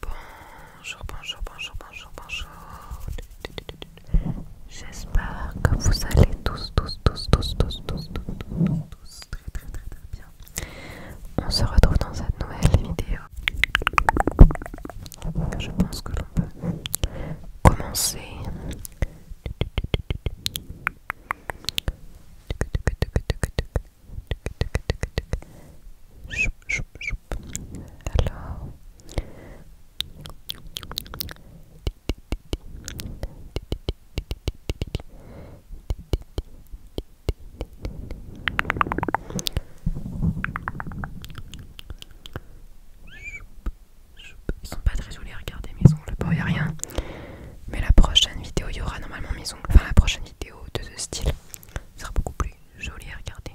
Bonjour, bonjour, bonjour, bonjour, bonjour. J'espère que vous allez tous, tous, tous, tous, tous, tous, tous, très, très, très, très bien. On se retrouve dans cette nouvelle vidéo. Je pense que l'on peut commencer je Ils sont pas très jolis à regarder mes ongles, bon y a rien. Mais la prochaine vidéo, il y aura normalement mes ongles. Enfin la prochaine vidéo de ce style sera beaucoup plus joli à regarder.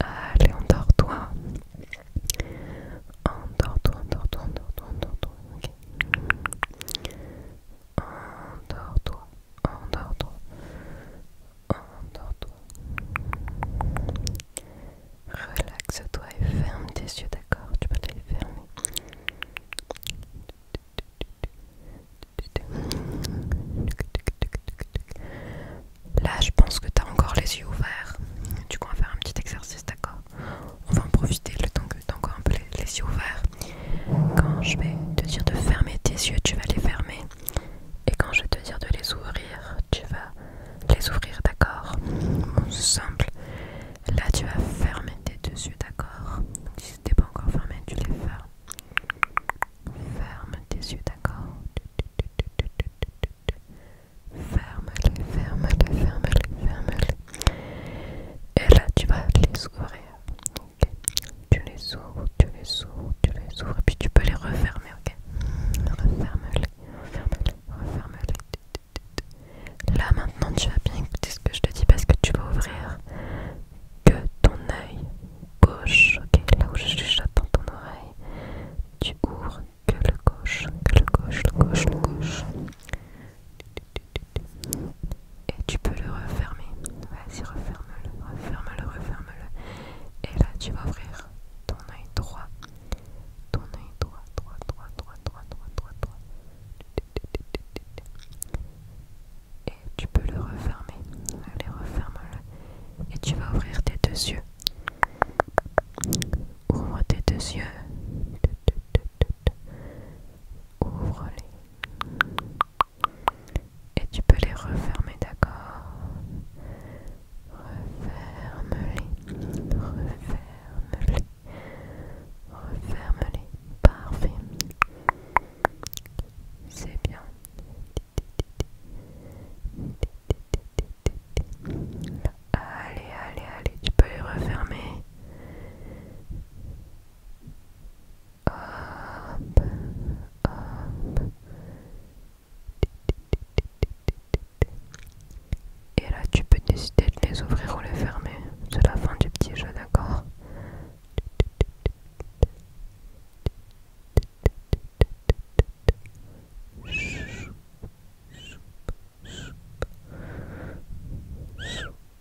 Allez, endors-toi. Endors-toi, toi toi dort toi en toi en toi Relaxe-toi et ferme tes yeux, d'accord Tu peux les fermer. Là, je pense que tu as encore les yeux ouverts. Du coup, on va faire un petit exercice, d'accord On va en profiter le temps que tu encore un peu les yeux ouverts. Quand je vais te dire de fermer tes yeux, tu vas les fermer. Et quand je vais te dire de les ouvrir, tu vas les ouvrir, d'accord Simple. Là, tu vas fermer tes deux yeux, d'accord Si n'est pas encore fermé, tu les fermes. Ferme tes yeux, d'accord Ferme-les, ferme-les, ferme-les, ferme-les. Et là, tu vas les ouvrir. Tu les ouvres, tu les ouvres, tu les ouvres et puis tu peux les refermer, ok Referme-les, referme-les, referme-les. Là maintenant tu vas bien écouter ce que je te dis parce que tu vas ouvrir que ton œil gauche, ok Là où je chuchote dans ton oreille, tu ouvres que le gauche, que le gauche, le gauche, le gauche et tu peux le refermer. Vas-y, referme-le, referme-le, referme-le. Et là, tu vas ouvrir ton œil droit. Ton œil droit, droit, droit, droit, droit, droit, droit, droit. Et tu peux le refermer. Allez, referme-le. Et tu vas ouvrir tes deux yeux. Ouvre tes deux yeux. Ouvre-les. Et tu peux les refermer, d'accord Referme-les, referme-les, referme-les, parfait. C'est bien. Allez, allez, allez, tu peux les refermer. Et là, tu peux décider de les ouvrir ou les fermer. C'est la fin du petit jeu, d'accord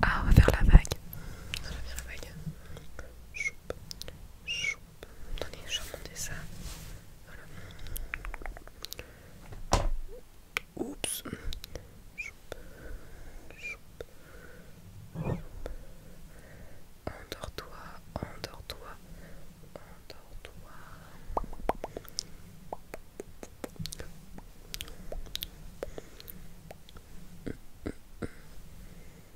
Ah, on va faire la vague. On va faire la vague. Attendez, je vais ça. Voilà. Oups. Endors-toi, endors-toi, endors-toi.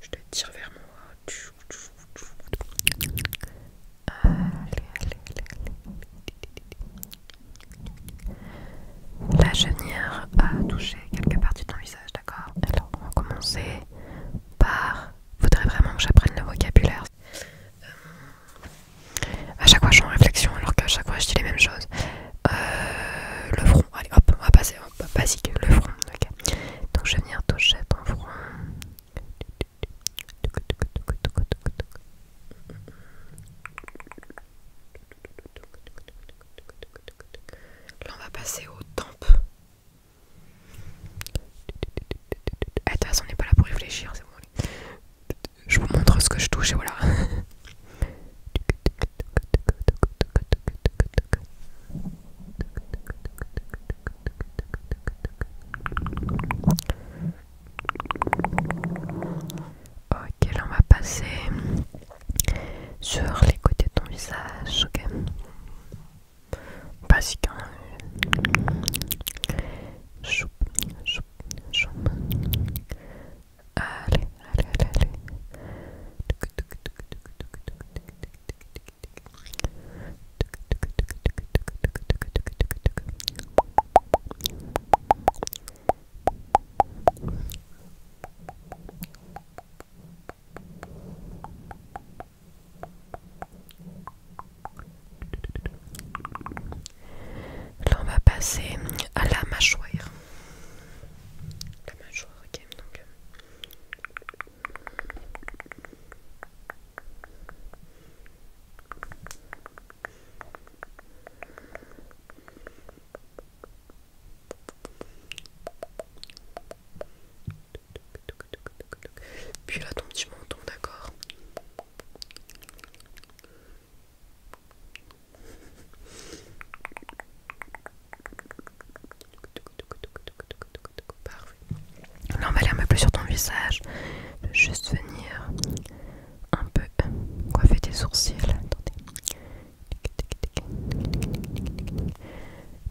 Je te tire vers moi. Tu... Allez, allez, allez, allez. La vais a touché quelques parties de ton visage, d'accord Alors, on va commencer par. Faudrait vraiment que j'apprenne le vocabulaire. À chaque fois, je suis en réflexion, alors qu'à chaque fois, je dis les mêmes choses. Le front, allez, hop, on va passer, basique, le front, ok. Donc, je vais venir toucher ton front. Là, on va passer aux tempes. Ah, de toute on n'est pas là pour réfléchir, c'est bon. Je vous montre ce que je touche et voilà. Ok, là on va passer sur les côtés de ton visage, ok Basique, hein Choup, choup, Allez, allez, allez, allez. Là on va passer à la mâchoire. La mâchoire, euh, puis là ton petit menton, d'accord Parfait. Là, on va aller un peu plus sur ton visage. juste venir un peu euh, coiffer tes sourcils. Attendez.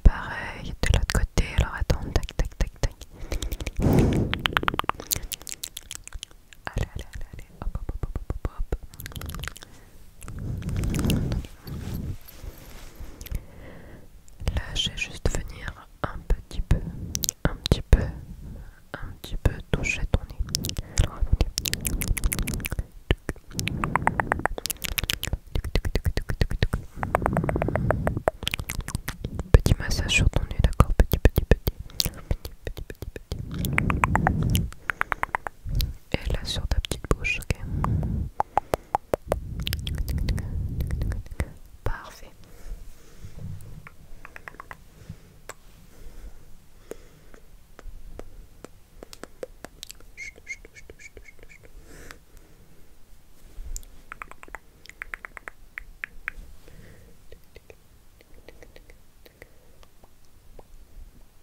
Pareil de l'autre côté. Alors, attends. Tac, tac, tac, Allez, allez, allez, Hop, hop, hop, hop, hop. Là, je vais juste venir un petit peu, un petit peu, un petit peu toucher ton nez. Petit massage sur ton nez, d'accord Petit, petit, petit. Petit, petit, petit, petit. Elle là sur ta petite bouche ok parfait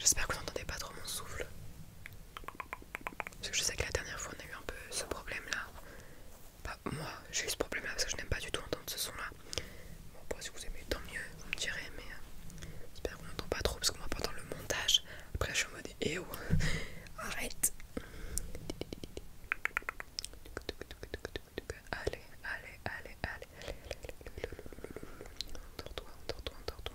J'espère que vous n'entendez pas trop mon souffle. Parce que je sais que la dernière fois on a eu un peu ce problème là. Bah, moi j'ai eu ce problème là parce que je n'aime pas du tout entendre ce son là. Bon, si vous aimez, tant mieux, vous me direz, mais j'espère qu'on n'entend pas trop parce qu'on va pas dans le montage. Après, je suis en mode et arrête! Allez, allez, allez, allez, allez, toi toi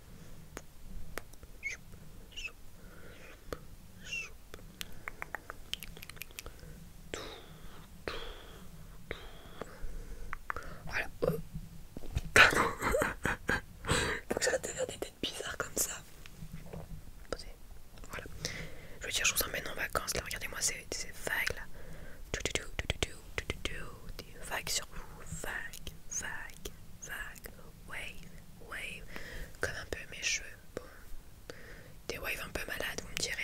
Voilà. Faut que ça des têtes bizarres comme ça. Voilà. Je veux dire, je vous emmène en vacances là. Regardez-moi ces, vagues là. vagues sur vous. Vagues, vagues, wave, wave, comme un peu mes cheveux. Bon, des waves un peu malades, vous me direz.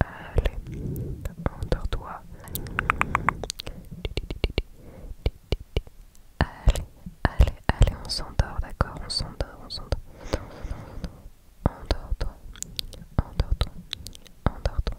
Allez, endors-toi. Allez, allez, allez, on s'endort, d'accord On s'endort, on s'endort. On on on on d'accord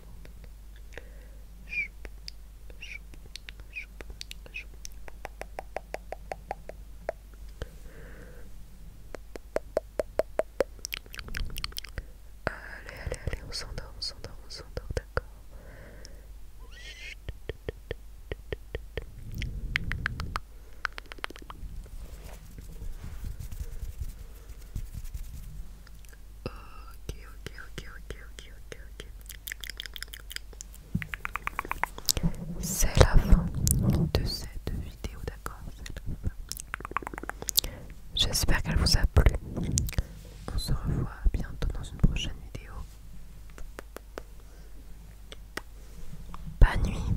Allez, allez, allez, on s'endort, on s'endort, on s'endort, d'accord. Ok, ok, ok, ok, ok, ok, ok. C'est la fin de cette vidéo, d'accord J'espère qu'elle vous a plu. On se revoit bientôt dans une prochaine vidéo. Bonne nuit